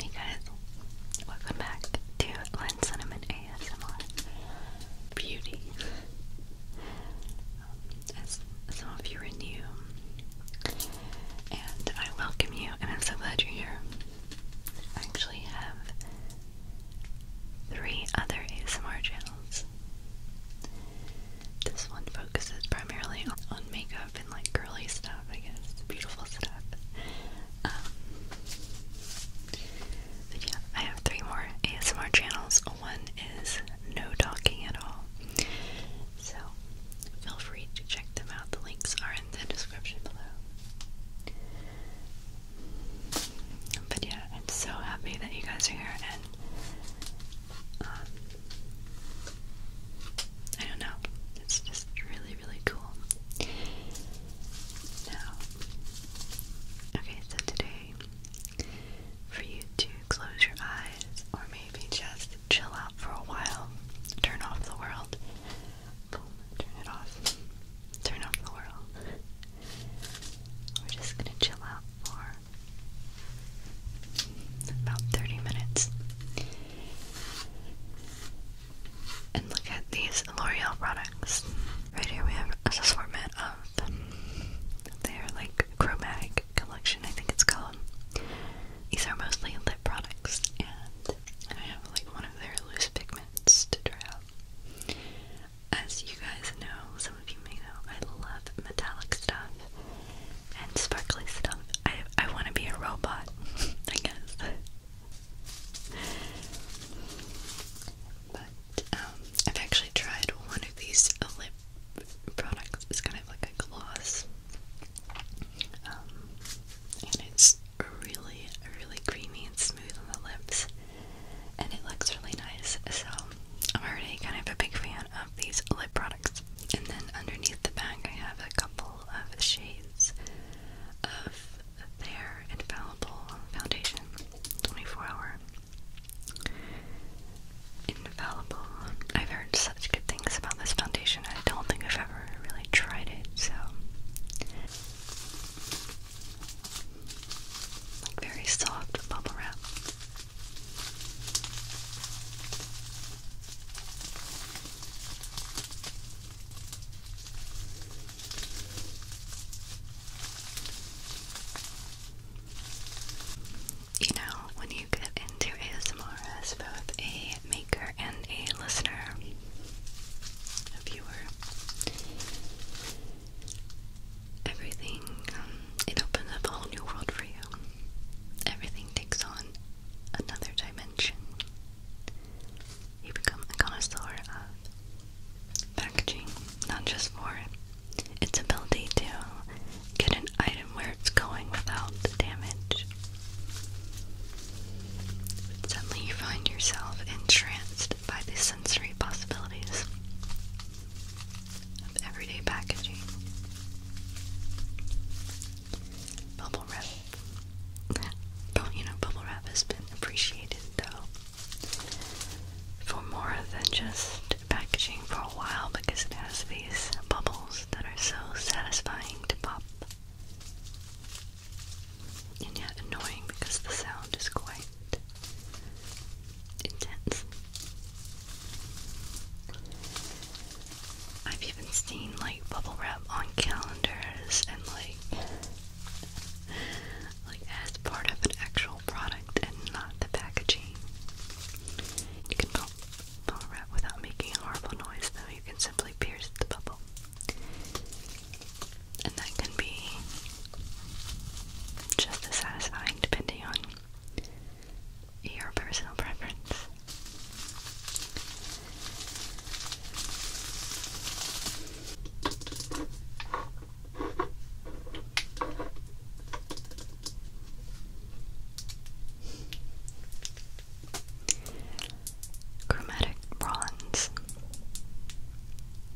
Hey guys, welcome back to Len Cinnamon ASMR Beauty. Um, as some of you are new, and I welcome you, and I'm so glad you're here. I actually have three other ASMR channels. This one focuses primarily on makeup and like girly stuff, I guess, beautiful stuff. Um, but yeah, I have three more ASMR channels. One is No Talking at All. So feel free to check them out. The links are in the description below. But yeah, I'm so happy that you guys are here and um, I don't know. It's just really, really cool. Now, okay, so today, for you to close your eyes or maybe just chill out for a while, turn off the world. turn it off. Turn off the world. We're just gonna chill out for about 30 minutes. And look at these L'Oreal products. Right here we have an assortment of their like chromatic collection, I think it's called. These are mostly lip products, and I have like one of their loose pigments to try out. As you guys know, some of you may know, I love metallic stuff and sparkly stuff. I I want to be a robot, I guess. But um, I've actually tried one of these lip products. It's kind of like a gloss, um, and it's really, really creamy and smooth on the lips, and it looks really nice. So, I'm already kind of a big fan of these lip products. And then underneath the bag, I have a couple of shades of their Infallible Foundation 24 Hour. Infallible. I've heard such good things about this foundation, I don't think I've ever really tried it, so very soft bubble wrap. You know, when you get into ASMR as both a maker and a listener, a viewer, everything, um, it opens up a whole new world for you. Everything takes on another dimension. You become a connoisseur of packaging, not just for its ability to get an item where it's going without the damage. Suddenly you find yourself entranced by these sensory possibilities of everyday packaging. Bubble wrap. But you know, bubble wrap has been appreciated though for more than just packaging for a while because it has these bubbles that are so satisfying to pop and yet annoying because the sound is quite intense. I've even seen like bubble wrap on calendars and like like as part of an actual product and not the packaging. You can pop bubble wrap without making a horrible noise though. You can simply pierce the bubble and that can be just as satisfying depending on your personal preference. Chromatic bronze.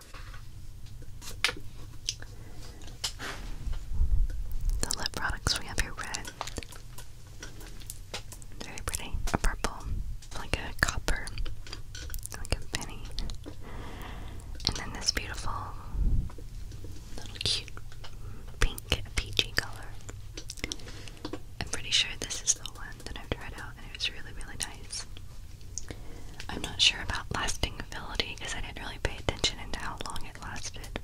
The lip products we have here red. Very pretty. A purple. Like a copper. Like a penny. And then this beautiful little cute pink peachy color. I'm pretty sure this is the one that I've tried out and it was really really nice. I'm not sure about lasting ability because I didn't really pay attention into how long it lasted.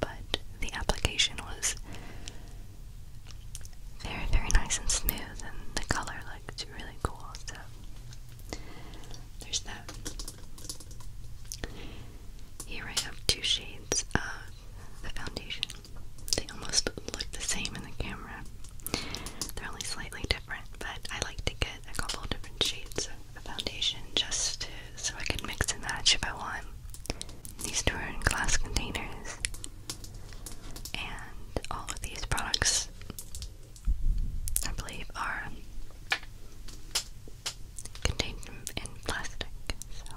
But the application was very, very nice and smooth, and the color looked really cool. So there's that. Here I have two shades of the foundation. They almost look the same in the camera. They're only slightly different, but I like to get a couple different shades, foundation just so I can mix and match if I want. These two are in glass containers. And all of these products, I believe, are contained in plastic. So.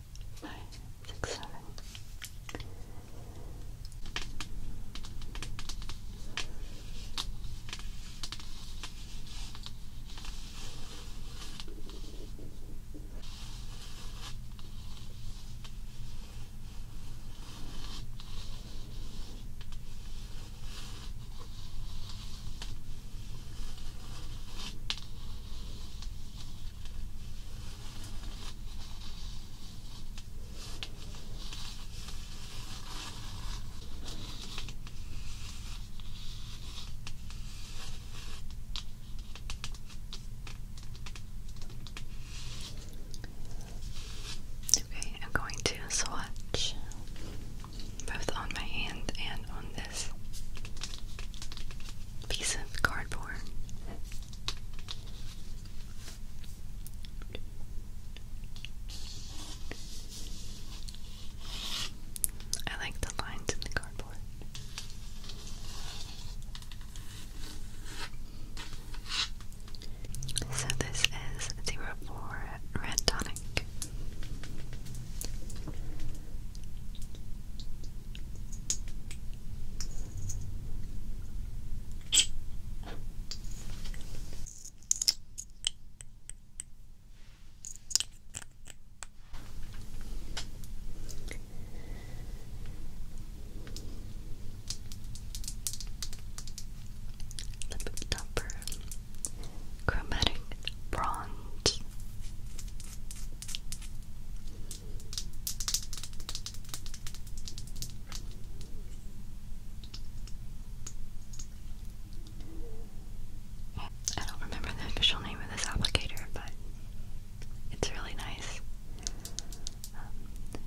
five, six, seven. Okay, I'm going to swatch both on my hand and on this piece of cardboard. I like the lines in the cardboard. So this is zero four red tonic. Lip topper, chromatic bronze, I don't remember the official name of this applicator, but it's really nice. Um,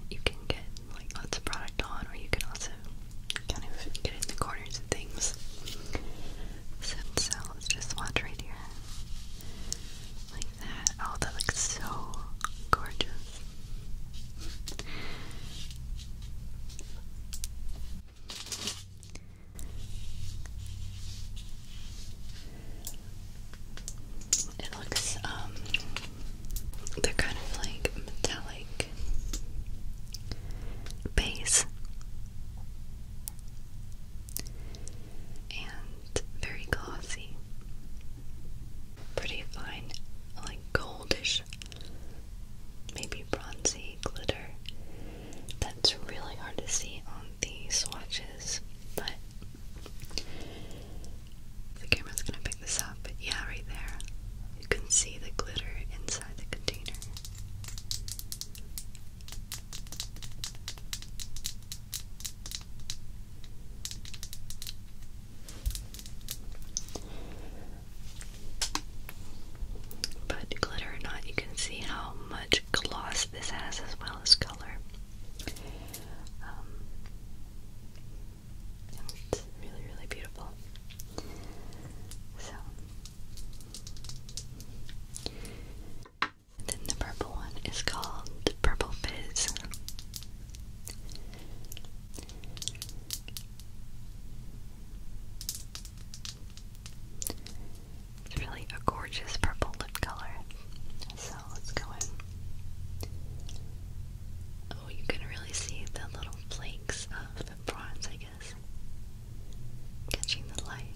you can get like lots of product on, or you can also kind of get in the corners of things. So, so let just watch here. Like that. Oh, that looks so gorgeous. It looks, um, they're kind of like metallic base and very glossy. Pretty fine, like goldish, maybe bronzy glitter. That's really hard to see on the swatches, but the camera's gonna pick this up. yeah, right there, you can see the glitter inside the container. But glitter or not, you can see how much gloss this has as well as color. Um, it's really, really beautiful. So. Then the purple one is called Purple Fizz. It's really a gorgeous purple lip color. So let's go in. Oh, you can really see the little flakes of bronze, I guess, catching the light.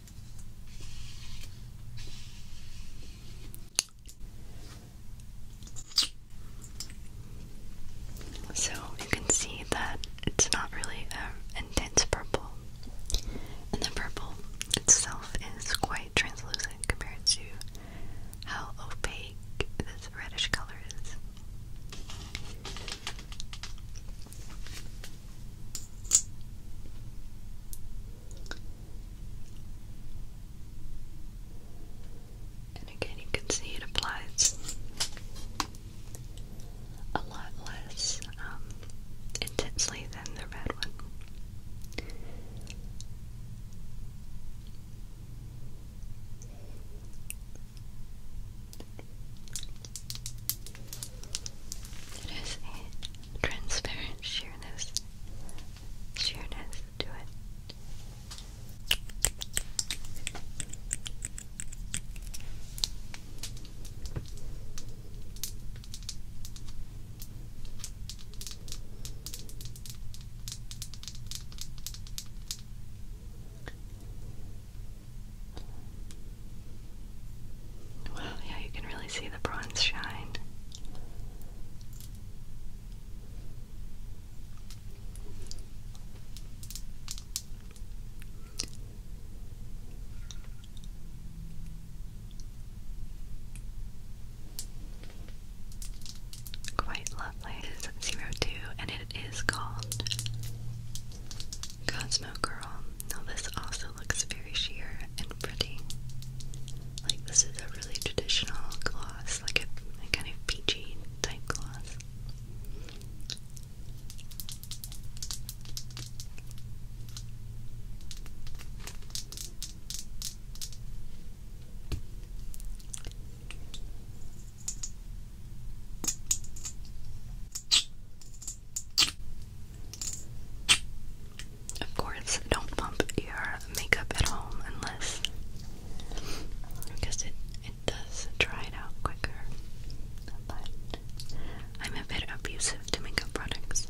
So you can see that it's not really a um, intense purple, and the purple itself is quite translucent compared to how opaque this reddish color is. And again, you can see it applies a lot less um, intensely than the red one. It has a transparent sheerness, sheerness to it. Wow, yeah, you can really see the bronze shine. Quite lovely. zero two, and it is called Cosmo Girl. Now this also it looks very sheer and pretty. Like this is a really traditional gloss, like a kind of peachy type gloss. Of course, don't bump your makeup at home unless because it it does dry it out quicker. But I'm a bit abusive to makeup products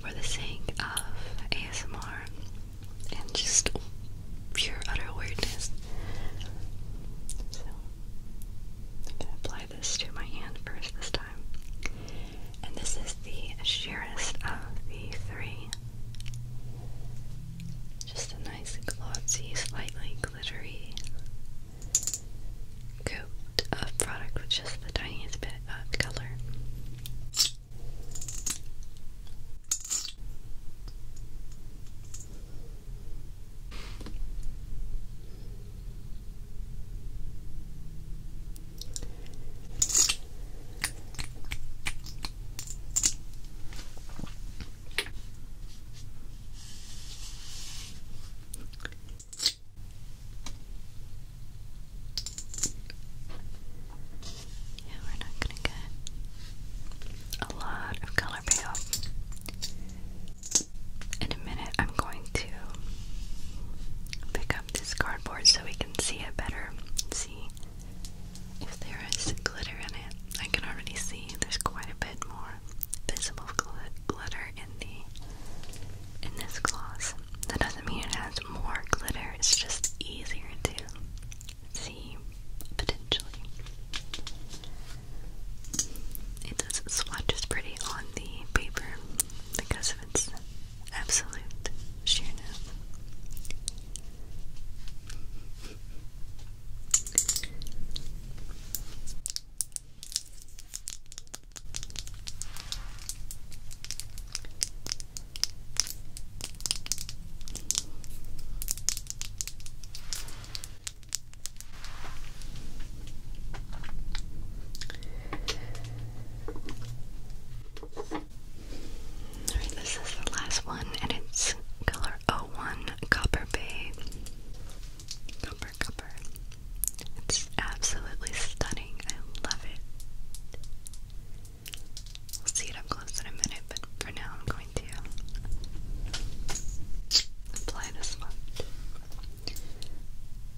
for the sake of ASMR and just pure utter weirdness. So I'm gonna apply this to my hand first this time. And this is the sheerest of the three. Just a nice glossy, slightly glittery coat of product with just the tiniest bit of color. Yeah, we're not going to get a lot of color payoff. In a minute, I'm going to pick up this cardboard so we can see it better. See if there is glitter in it. I can already see there's quite a bit more visible glitter in the in this gloss. That doesn't mean it has more glitter. It's just easier to see potentially. It does swatches pretty on the paper, because of its absolute sheerness this is the last one, and it's color 01 Copper Bay. Copper, copper. It's absolutely stunning. I love it. We'll see it up close in a minute, but for now I'm going to apply this much.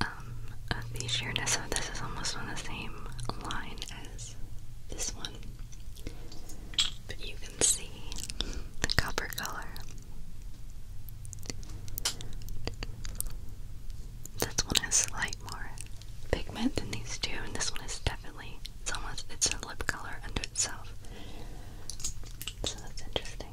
Um, the sheerness of this is almost on the same line as this one. But you can see the copper color. This one is slightly more pigment than these two, and this one is definitely, it's almost, it's a lip color unto itself. So that's interesting.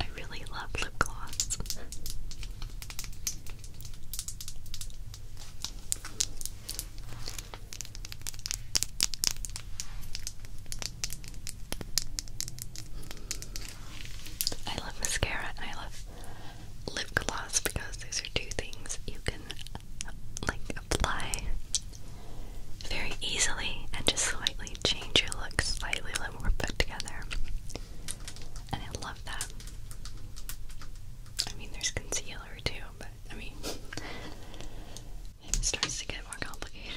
I really love lip gloss. I love mascara I love lip gloss because those are two things you can like apply very easily and just slightly change your look slightly a little more put together. And I love that. I mean there's concealer too, but I mean it starts to get more complicated.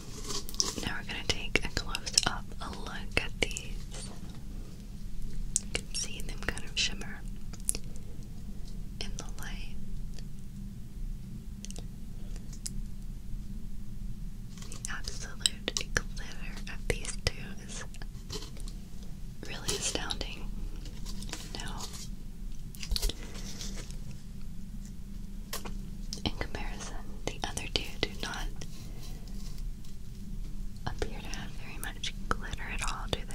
Now we're going to take a close up a look at these. You can see them kind of shimmer in the light. The absolute glitter of these two is really astounding. Now, in comparison, the other two do not appear to have very much glitter at all, do they?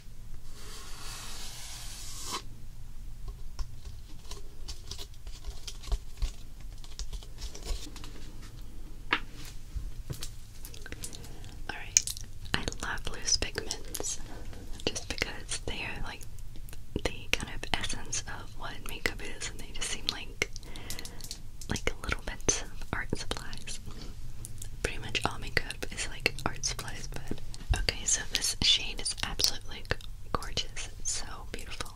Alright, I love loose pigments just because they are like the kind of essence of what makeup is and they just seem like like little bits of art supplies pretty much all makeup is like art supplies, but okay, so this shade is absolutely gorgeous. It's so beautiful.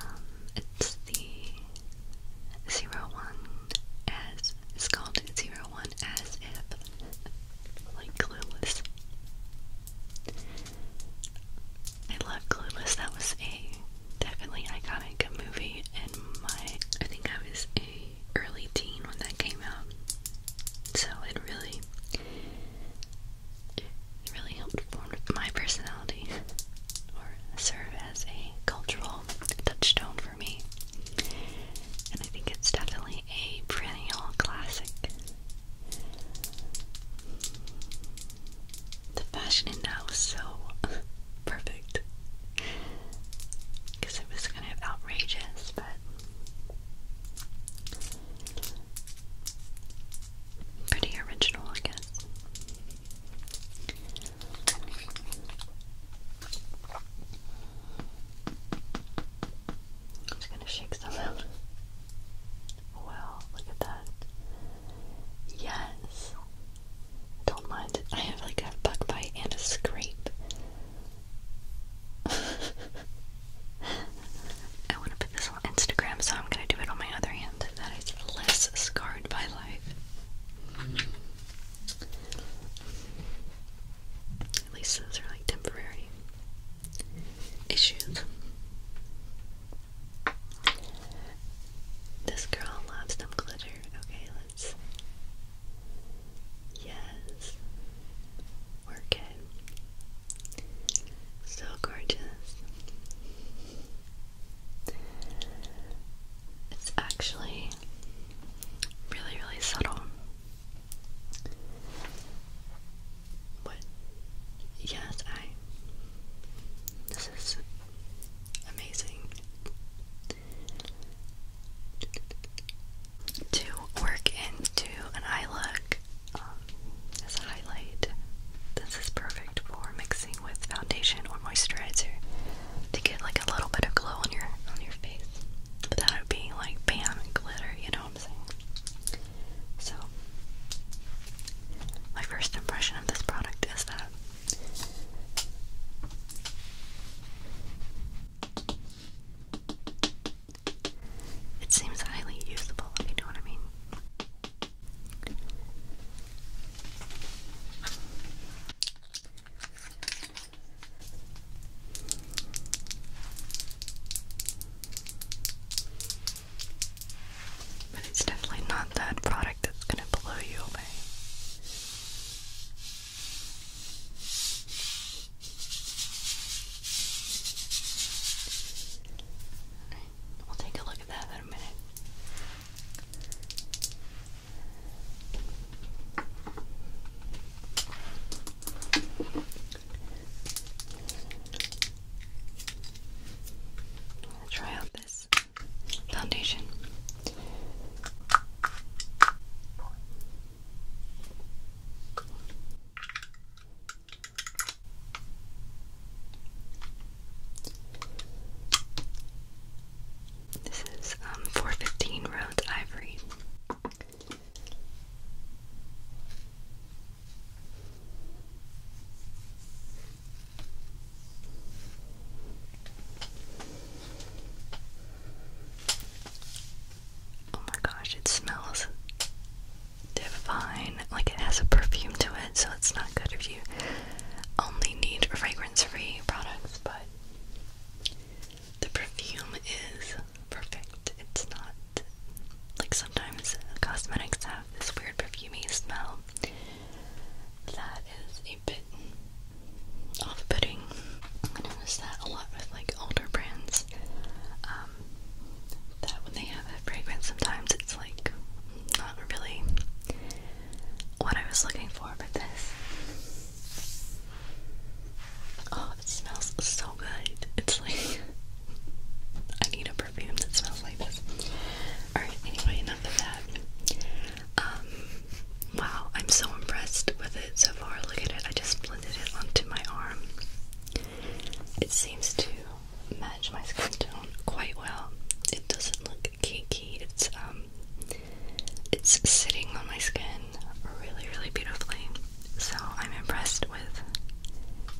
Um, it's the zero one as it's called zero one as if like clueless. I love Clueless. That was a definitely iconic movie in my I think I was a early teen when that came out. So it really, really helped form my personality or serve as a cultural touchstone for me. And I think it's definitely a perennial classic. The fashion in that was so perfect because it was kind of outrageous, but pretty original, I guess. I'm gonna shake some out. Wow, look at that. Yes. Don't mind I have like a bug bite and a scrape. I want to put this on Instagram, so I'm going to do it on my other hand. That is less scarred by life. At least those are like temporary issues. This girl loves some glitter. Okay, Yes. Yes. So gorgeous. It's actually really, really subtle. But yes, I. This is amazing to work into an eye look um, as highlight. This is perfect for mixing with foundation or moisturizer to get like a little bit of glow on your on your face without being like bam glitter, you know what I'm saying? So my first impression of this product is that it seems highly usable, if you know what I mean. But it's definitely not that product that's going to blow you away we'll take a look at that in a minute. try out this foundation. This is um, 415 Rhodes Ivory. Oh my gosh, it smells divine. Like it has a perfume to it, so it's not good if you only need fragrance free products, but the perfume is perfect. It's not like sometimes cosmetics have this weird perfumey smell that is a bit off-putting. I notice that a lot with like older brands. Um, that when they have a fragrance, sometimes it's like not really what I was looking for. But this, oh, it smells so good. It's like I need a perfume that smells like this. All right. Anyway, enough of that. Um, Wow, I'm so impressed with it so far. Look at it, I just blended it onto my arm. It seems to match my skin tone quite well. It doesn't look kinky. It's um it's sitting on my skin really, really beautifully. So I'm impressed with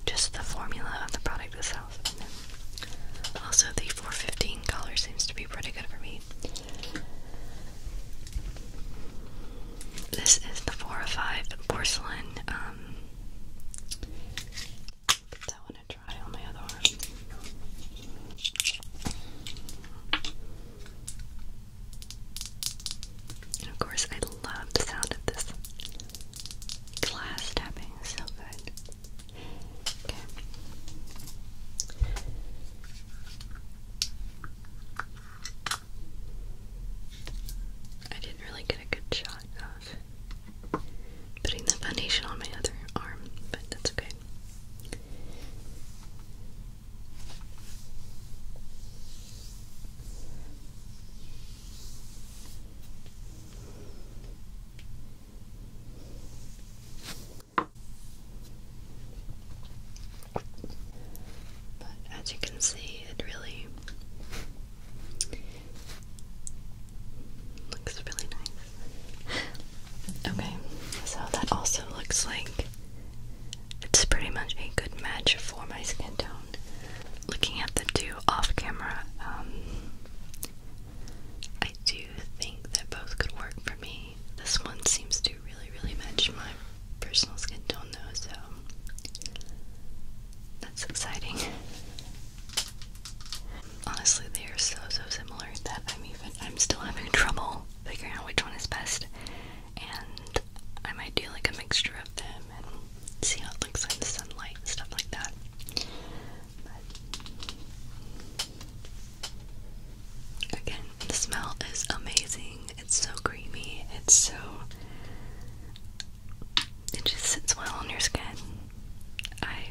just the formula of the product itself. also the 415 color seems to be pretty good for me. This is the 405 porcelain. Um, Give that one a try on my other arm. And of course, I love the sound of this glass tapping, it's so good. Okay. I didn't really get a good shot of putting the foundation on my other arm, but that's okay. But as you can see, it really looks really nice. Okay, so that also looks like it's pretty much a good match for my skin tone. Looking at the two off camera, um, I do think that both could work for me. This one seems to really, really match my personal skin tone though, so that's exciting. Honestly, they are so, so similar that I'm even, I'm still having trouble figuring out which one is best. And I might do like a mixture of them and see how it looks in the sunlight and stuff like that. Again, the smell is amazing. It's so creamy. It's so. It just sits well on your skin. I.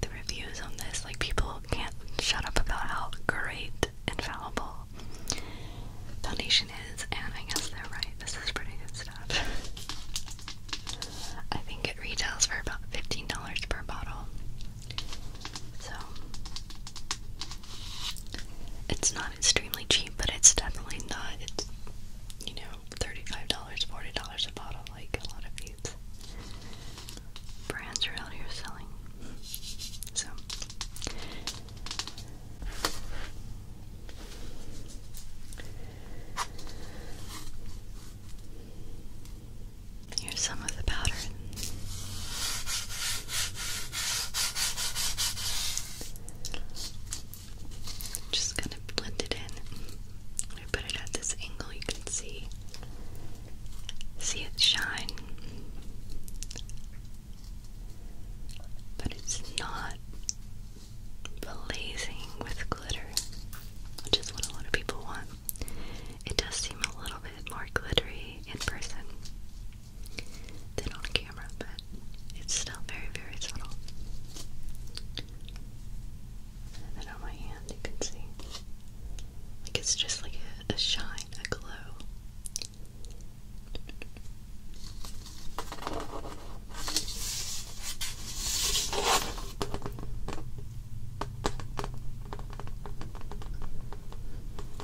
The reviews on this, like, people can't shut up about how great and foundation is, and I guess they're right. This is pretty good stuff. I think it retails for about $15 per bottle. So, it's not extremely cheap, but it's definitely not. It's you know, thirty-five dollars, forty dollars a bottle, like a lot of these brands are out here selling. So. Here's some of the powder just gonna blend it in. I put it at this angle you can see see it shine. But it's not blazing with glitter, which is what a lot of people want. It does seem a little bit more glittery in person than on camera, but it's still very, very subtle. And then on my hand, you can see, like it's just like a shine, a glow.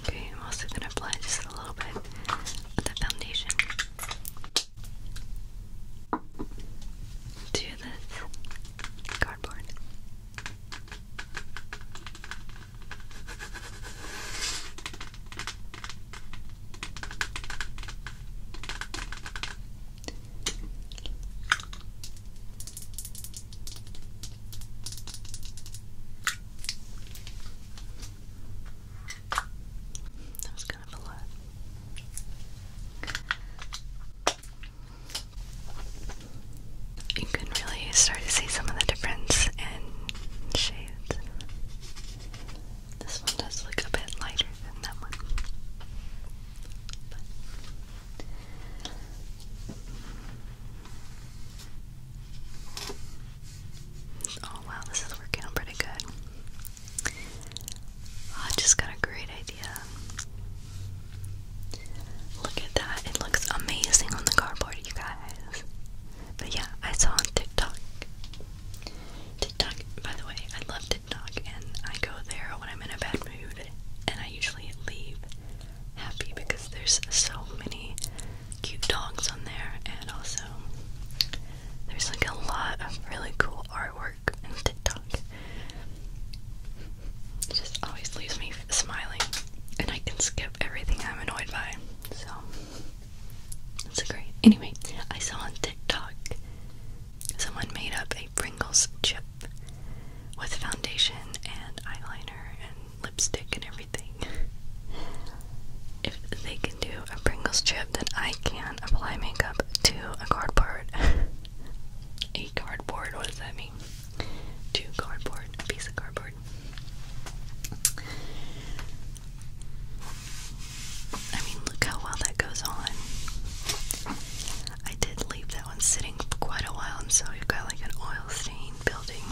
Okay, I'm also gonna apply just a little bit of the foundation to this cardboard. That was kind of a lot. You can really start to see some of the difference in shades. This one does look a bit lighter than that one. Oh wow, this is working out pretty good. Oh, I just got a great idea. Look at that. It looks amazing on the cardboard, you guys. But yeah, I saw on TikTok. TikTok, by the way, I love TikTok and I go there when I'm in a bad mood and I usually leave happy because there's so many cute dogs on there, and also there's like a lot of really cool artwork and TikTok. It just always leaves me smiling, and I can skip everything I'm annoyed by. So it's great. Anyway, I saw on TikTok someone made up a Pringles chip with foundation and eyeliner and lipstick and everything. if they can do a Pringles chip, then I can apply makeup to a cardboard. a cardboard, what does that mean? To cardboard, a piece of cardboard. I mean, look how well that goes on. I did leave that that one's sitting quite a while, and so you've got like an oil stain building.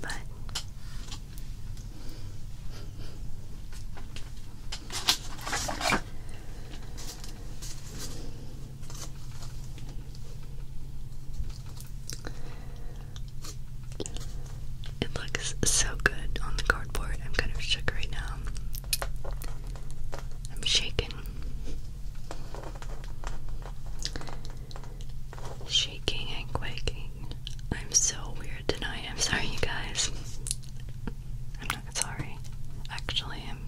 But it looks so good on the cardboard. I'm kind of shook right now. I'm shaking. Shaking and quaking. I'm so weird tonight. I'm sorry, you guys. I'm not sorry. Actually, I'm.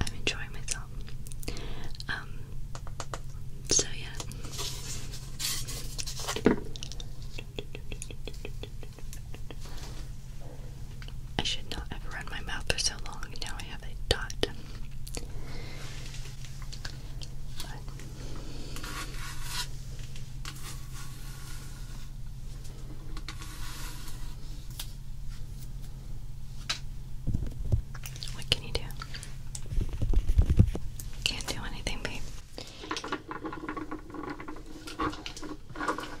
I'm enjoying myself. Um. So yeah. I should not have run my mouth for so long. Now I have a dot. what can you do? Can't do anything, babe.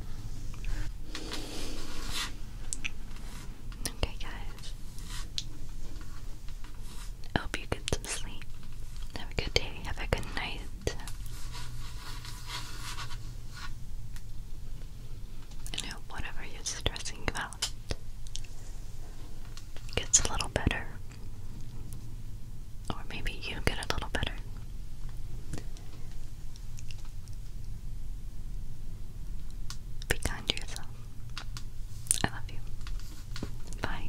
Okay, guys. I hope you get some sleep. Have a good day. Have a good night. And I hope whatever you're stressing about gets a little better. Or maybe you get a little better. Be kind to yourself. I love you. Bye.